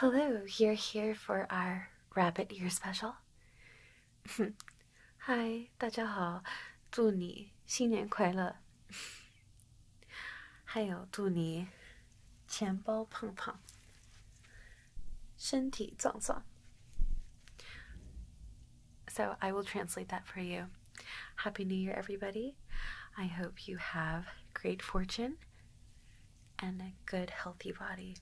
Hello, you're here for our rabbit Year special. Hi, So I will translate that for you. Happy New Year, everybody. I hope you have great fortune and a good, healthy body.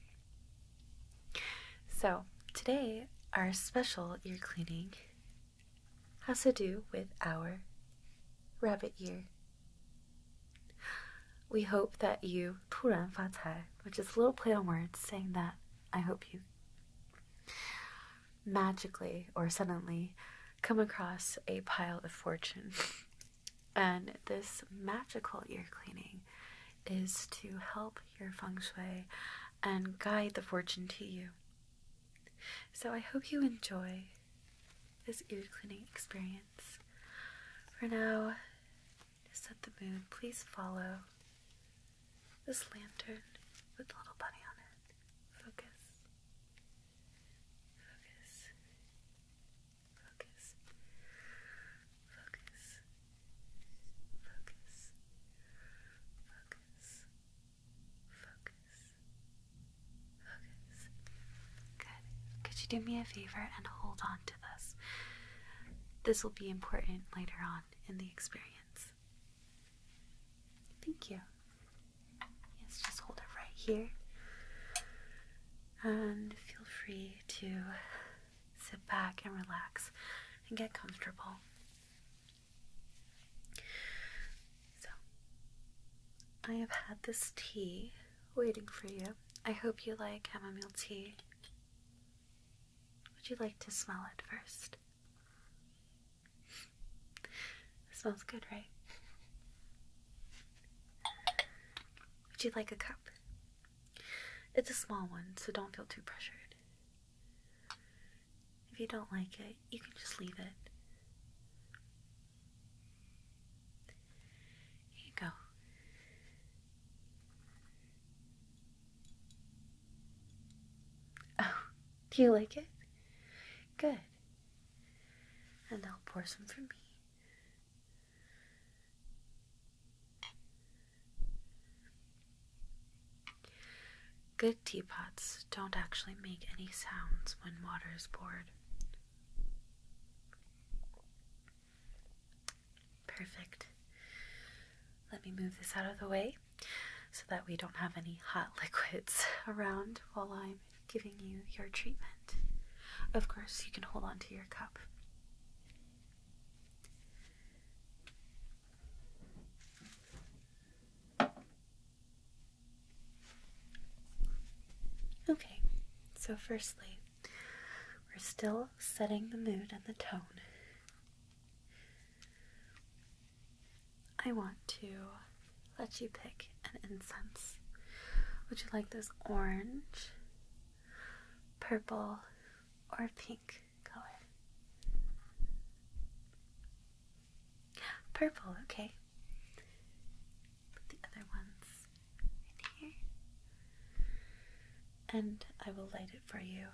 So, today, our special ear cleaning has to do with our rabbit ear. We hope that you 突然发财, which is a little play on words saying that I hope you magically or suddenly come across a pile of fortune. And this magical ear cleaning is to help your feng shui and guide the fortune to you. So I hope you enjoy this ear cleaning experience. For now, to set the mood, please follow this lantern with the little bunny on it. Focus. Focus. Focus. Focus. Focus. Focus. Focus. Focus. Good. Could you do me a favor and hold on to this? This will be important later on in the experience. Thank you. Yes, just hold it right here. And feel free to sit back and relax and get comfortable. So, I have had this tea waiting for you. I hope you like chamomile tea. Would you like to smell it first? smells good, right? Would you like a cup? It's a small one, so don't feel too pressured. If you don't like it, you can just leave it. Here you go. Oh, do you like it? Good and I'll pour some for me. Good teapots don't actually make any sounds when water is poured. Perfect. Let me move this out of the way so that we don't have any hot liquids around while I'm giving you your treatment. Of course, you can hold on to your cup. Okay, so firstly, we're still setting the mood and the tone. I want to let you pick an incense. Would you like this orange, purple, or pink color? Purple, okay. Put the other ones in here. And I will light it for you.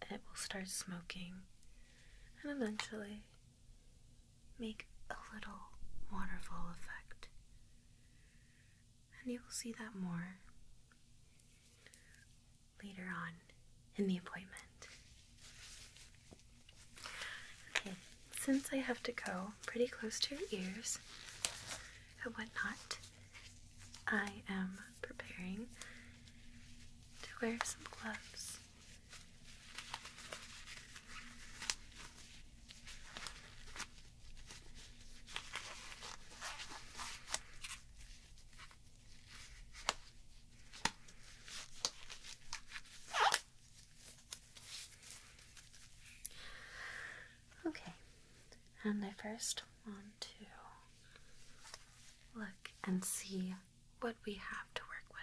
And it will start smoking and eventually make a little waterfall effect. And you will see that more later on in the appointment. Okay, since I have to go pretty close to your ears and whatnot, I am preparing to wear some gloves. Okay, and I first want to look and see what we have to work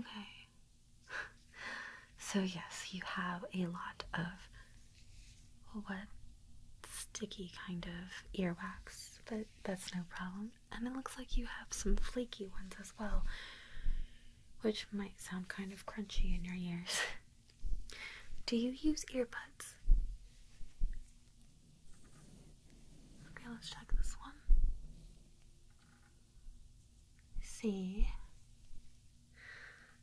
with. Okay, so, yes, you have a lot of what sticky kind of earwax, but that's no problem. And it looks like you have some flaky ones as well, which might sound kind of crunchy in your ears. Do you use earbuds? Okay, let's check this one. See,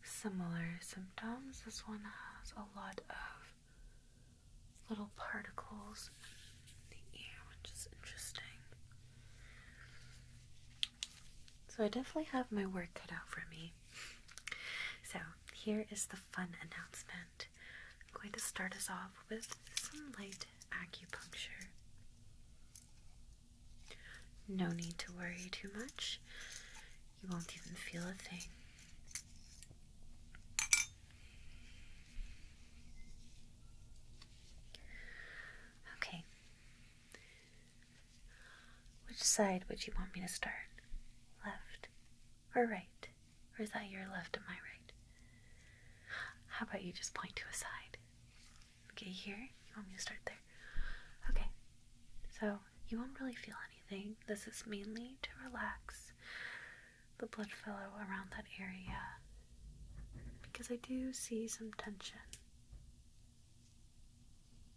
similar symptoms. This one has a lot of little particles in the air, which is interesting. So, I definitely have my work cut out for me. So, here is the fun announcement. I'm going to start us off with some light acupuncture. No need to worry too much. You won't even feel a thing. Okay. Which side would you want me to start? Left or right? Or is that your left and my right? How about you just point to a side? Okay, here? You want me to start there? Okay, so you won't really feel anything. This is mainly to relax the blood flow around that area because I do see some tension.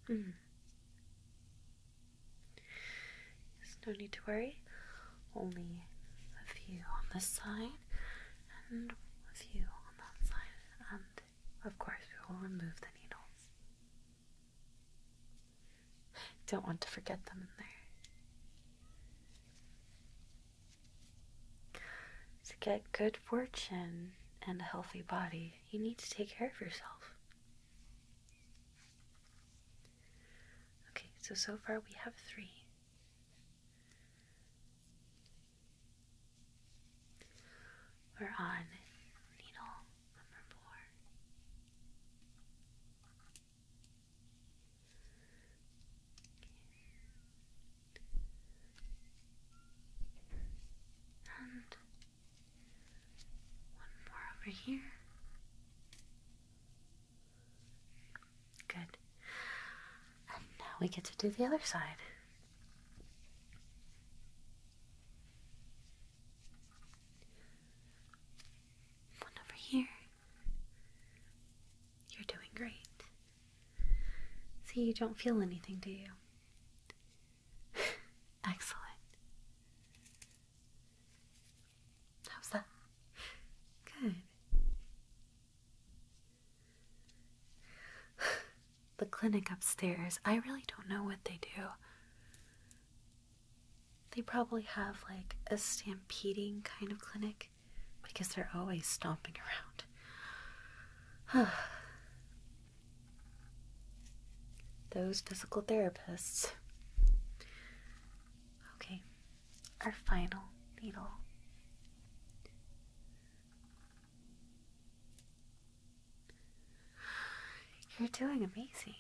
Mm. There's no need to worry. Only a few on this side and a few on that side, and of course, we will remove the needles. Don't want to forget them in there. To get good fortune and a healthy body, you need to take care of yourself. Okay, so so far we have three. We're on needle number four. And one more over here. Good now we get to do the other side. One over here. You're doing great. See, you don't feel anything, do you? Excellent. How's that? Good. the clinic upstairs, I really don't know what they do. They probably have like a stampeding kind of clinic because they're always stomping around. Those physical therapists. Okay, our final needle. You're doing amazing.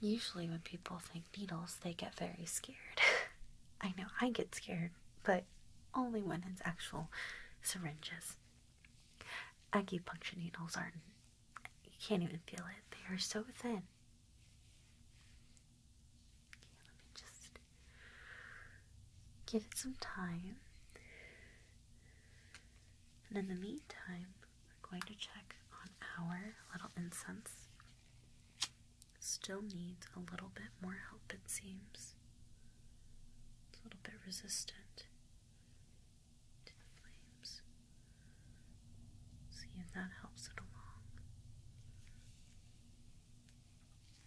Usually, when people think needles, they get very scared. I know I get scared, but only when it's actual syringes. Acupuncture needles aren't, you can't even feel it. They are so thin. Okay, let me just Give it some time. And in the meantime, we're going to check on our little incense. Still needs a little bit more help, it seems. It's a little bit resistant to the flames. See if that helps it along.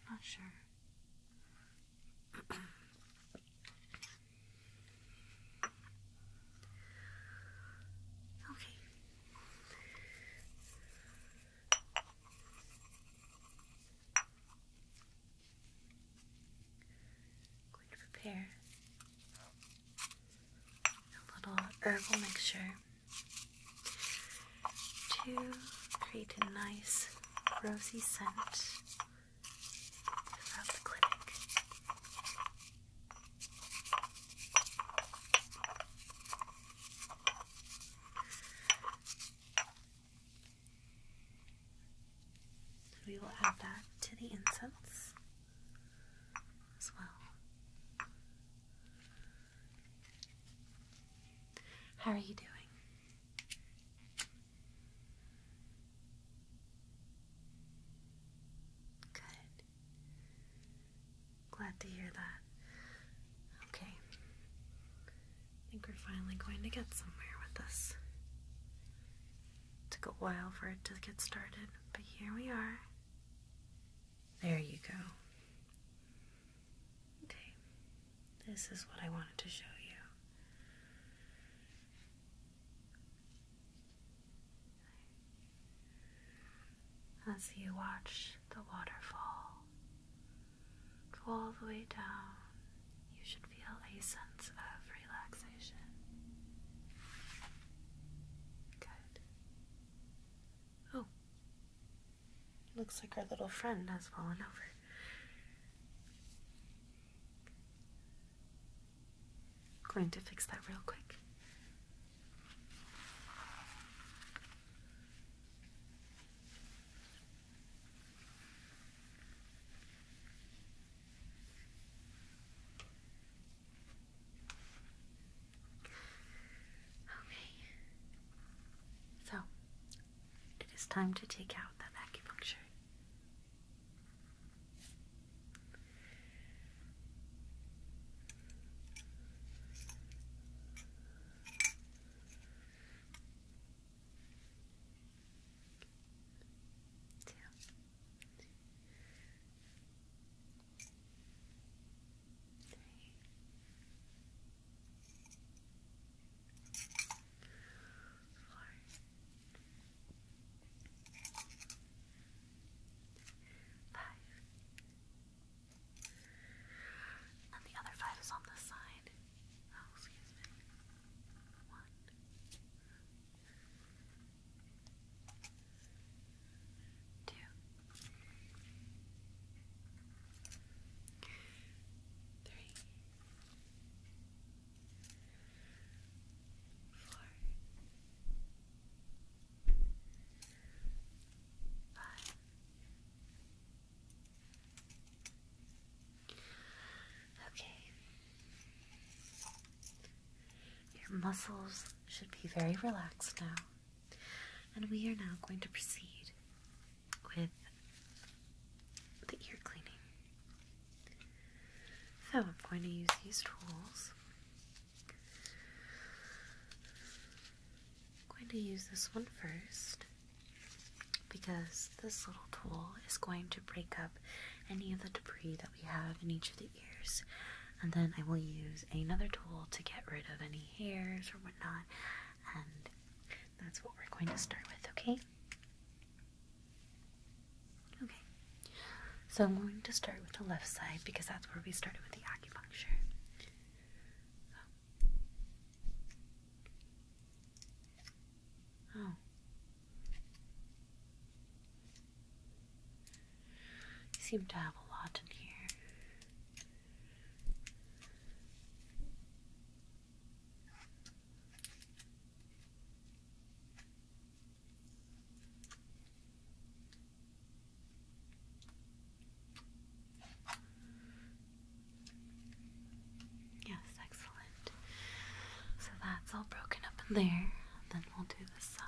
Not sure okay. I'm going to prepare a little herbal mixture to create a nice rosy scent throughout the clinic. We will add that to the incense as well. How are you doing? Good. Glad to hear that. Okay. I think we're finally going to get somewhere with this. Took a while for it to get started, but here we are. There you go. Okay, this is what I wanted to show you. As you watch the waterfall go all the way down, you should feel a sense of relaxation. Good. Oh, Looks like our little friend has fallen over. Going to fix that real quick. Okay. So, it is time to take out that acupuncture. Yeah. Three five. And the other five is on this side. Oh, One. Two three, four, five. Okay. Your muscles should be very relaxed now, and we are now going to proceed with the ear cleaning. So I'm going to use these tools. I'm going to use this one first because this little tool is going to break up any of the debris that we have in each of the ears. And then I will use another tool to get rid of any hairs or whatnot that's what we're going to start with, okay? Okay. So I'm going to start with the left side because that's where we started with the acupuncture. Oh. You seem to have a lot in here. Yes, excellent. So that's all broken up in there. Then we'll do the side.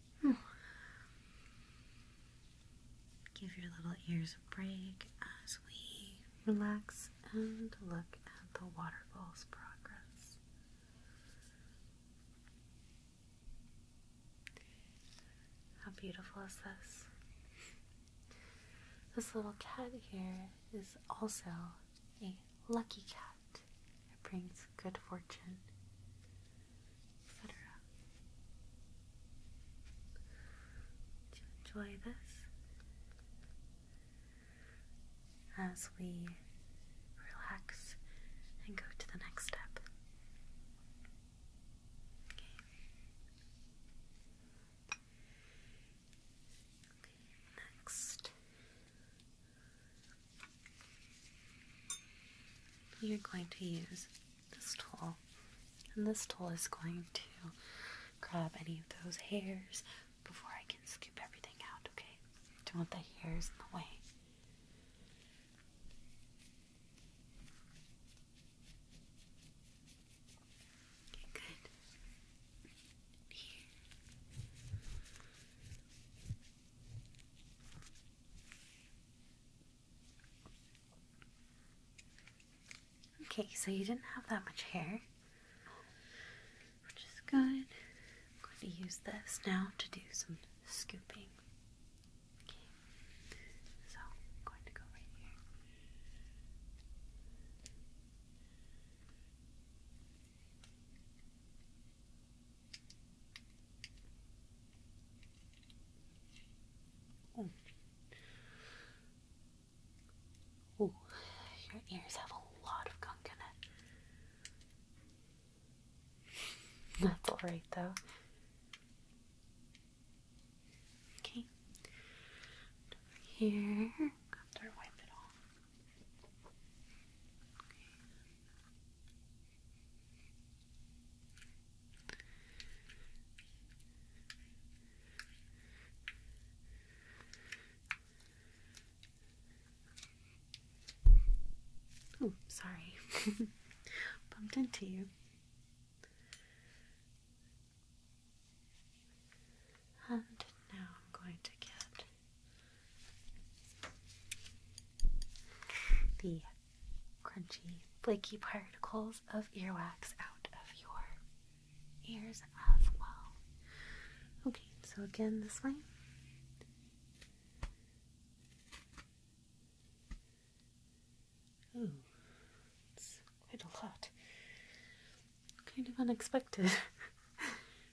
Give your little ears a break as we relax and look at the waterfall's progress. How beautiful is this? This little cat here is also a lucky cat. It brings good fortune etc. To enjoy this as we relax and go to the next step. Okay, next, you're going to use this tool, and this tool is going to grab any of those hairs before I can scoop everything out, okay? Don't want the hairs in the way. good. Here. Okay, so you didn't have that much hair, which is good. I'm going to use this now to do some scooping. Okay, so I'm going to go right here. Oh. oh, your ears have a lot of gunk in it. That's alright though. Okay. here. After wipe it off. Oh, sorry. Bumped into you. And um, now I'm going to get the crunchy, flaky particles of earwax out of your ears as well. Okay, so again, this way. Ooh, it's quite a lot. Kind of unexpected.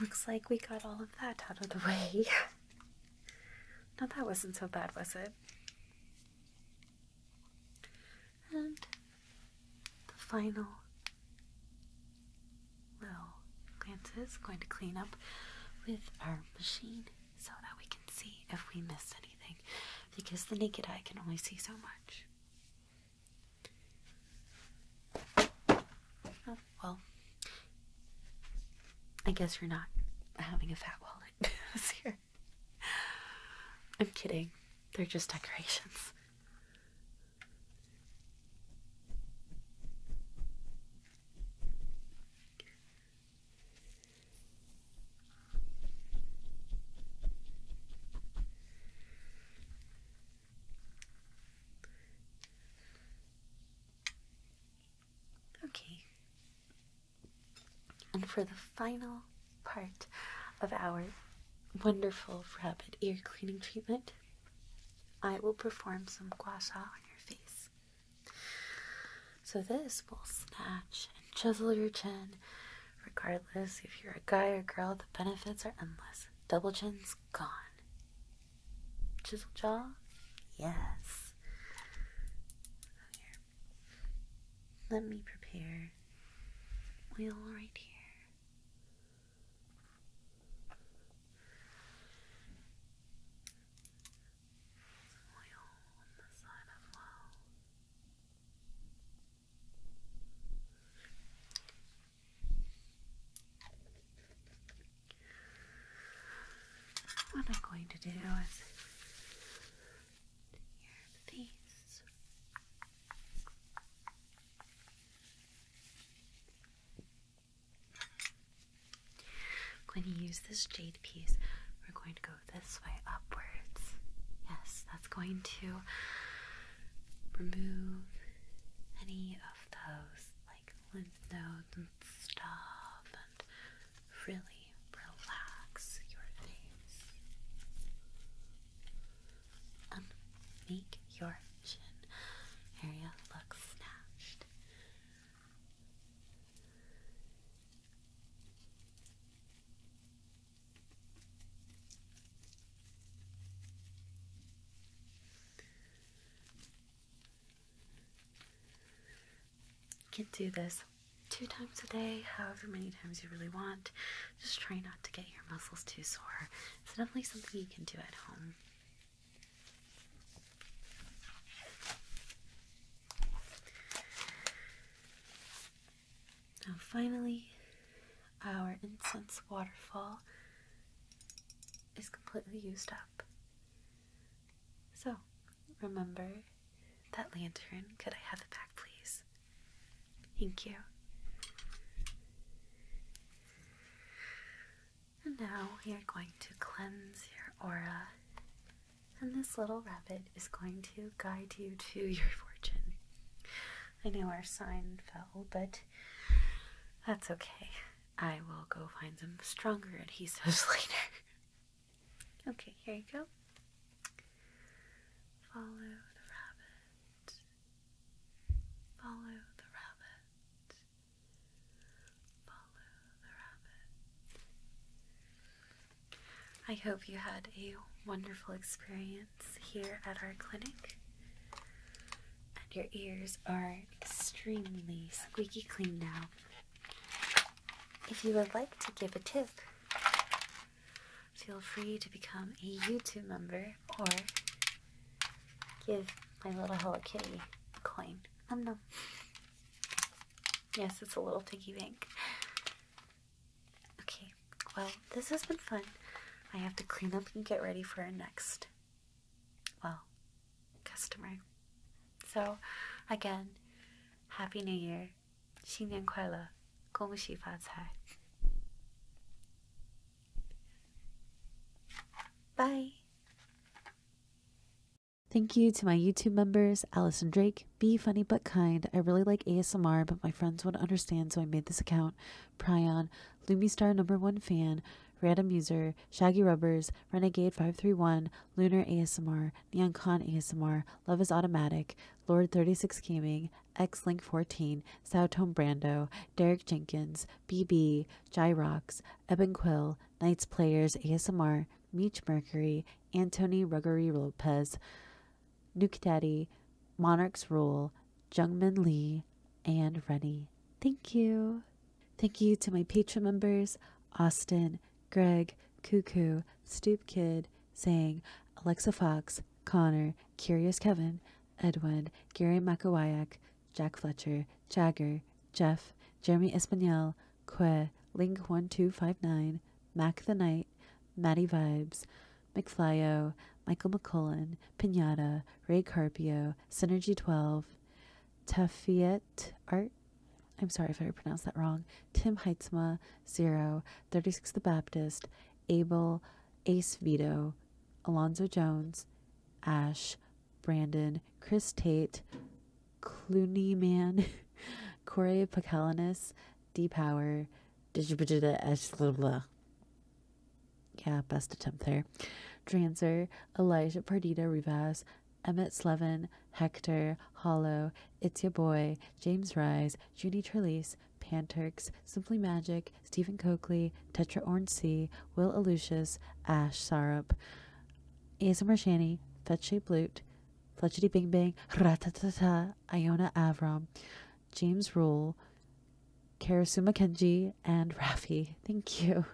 Looks like we got all of that out of the way. now that wasn't so bad, was it? And the final little glances is going to clean up with our machine so that we can see if we miss anything because the naked eye can only see so much. Well, I guess you're not having a fat wallet this year. I'm kidding. They're just decorations. Okay. And for the final part of our wonderful rapid ear cleaning treatment, I will perform some gua sha on your face. So, this will snatch and chisel your chin, regardless if you're a guy or girl, the benefits are endless. Double chin's gone. Chisel jaw? Yes. Let me prepare wheel right here. What I'm going to do is your face. I'm going to use this jade piece. We're going to go this way upwards. Yes, that's going to remove any of those like lymph nodes and stuff and really relax your face and make your chin area look snatched. You can do this two times a day, however many times you really want. Just try not to get your muscles too sore. It's definitely something you can do at home. Now, finally, our incense waterfall is completely used up. So, remember that lantern. Could I have it back, please? Thank you. And now we are going to cleanse your aura. And this little rabbit is going to guide you to your fortune. I know our sign fell, but that's okay. I will go find some stronger adhesives later. okay, here you go. Follow the rabbit. Follow the rabbit. Follow the rabbit. I hope you had a wonderful experience here at our clinic. And your ears are extremely squeaky clean now. If you would like to give a tip, feel free to become a YouTube member or give my little Hello Kitty a coin. Um, no. Yes, it's a little piggy bank. Okay, well, this has been fun. I have to clean up and get ready for our next, well, customer. So, again, Happy New Year. Bye. Thank you to my YouTube members, Allison Drake, Be Funny But Kind. I really like ASMR, but my friends wouldn't understand, so I made this account, Prion, Lumistar number one fan, Random User, Shaggy Rubbers, Renegade531, Lunar ASMR, Neon Neoncon ASMR, Love is Automatic, Lord36 Gaming, Xlink14, Soutone Brando, Derek Jenkins, BB, Gyrox, Eben Quill, Knights Players ASMR, Meech Mercury, Antony Ruggery Lopez, Nuke Daddy, Monarch's Rule, Jungmin Lee, and Rennie. Thank you. Thank you to my Patreon members, Austin, Greg, Cuckoo, Stoop Kid, Sang, Alexa Fox, Connor, Curious Kevin, Edwin, Gary Makawayak, Jack Fletcher, Jagger, Jeff, Jeremy Espanel, Que, Link1259, Mac the Knight, Maddie Vibes, McFlyo, Michael McCullen, Pinata, Ray Carpio, Synergy 12, Tafiet Art. I'm sorry if I pronounced that wrong. Tim Heitzma, Zero, 36 The Baptist, Abel, Ace Vito, Alonzo Jones, Ash, Brandon, Chris Tate, Clooney Man, Corey Pakalanis, D Power, blah, blah, blah yeah, best attempt there. Dranzer, Elijah Pardita Rivas, Emmett Slevin, Hector, Hollow, It's Your Boy, James Rise, Judy Trelease, Panturks, Simply Magic, Stephen Coakley, Tetra Orange C, Will Alucius, Ash Syrup, ASMR Shanny, Fetchy Blute, Fletchity Bing Bang, Ratatata, Iona Avram, James Rule, Karasuma Kenji, and Rafi. Thank you.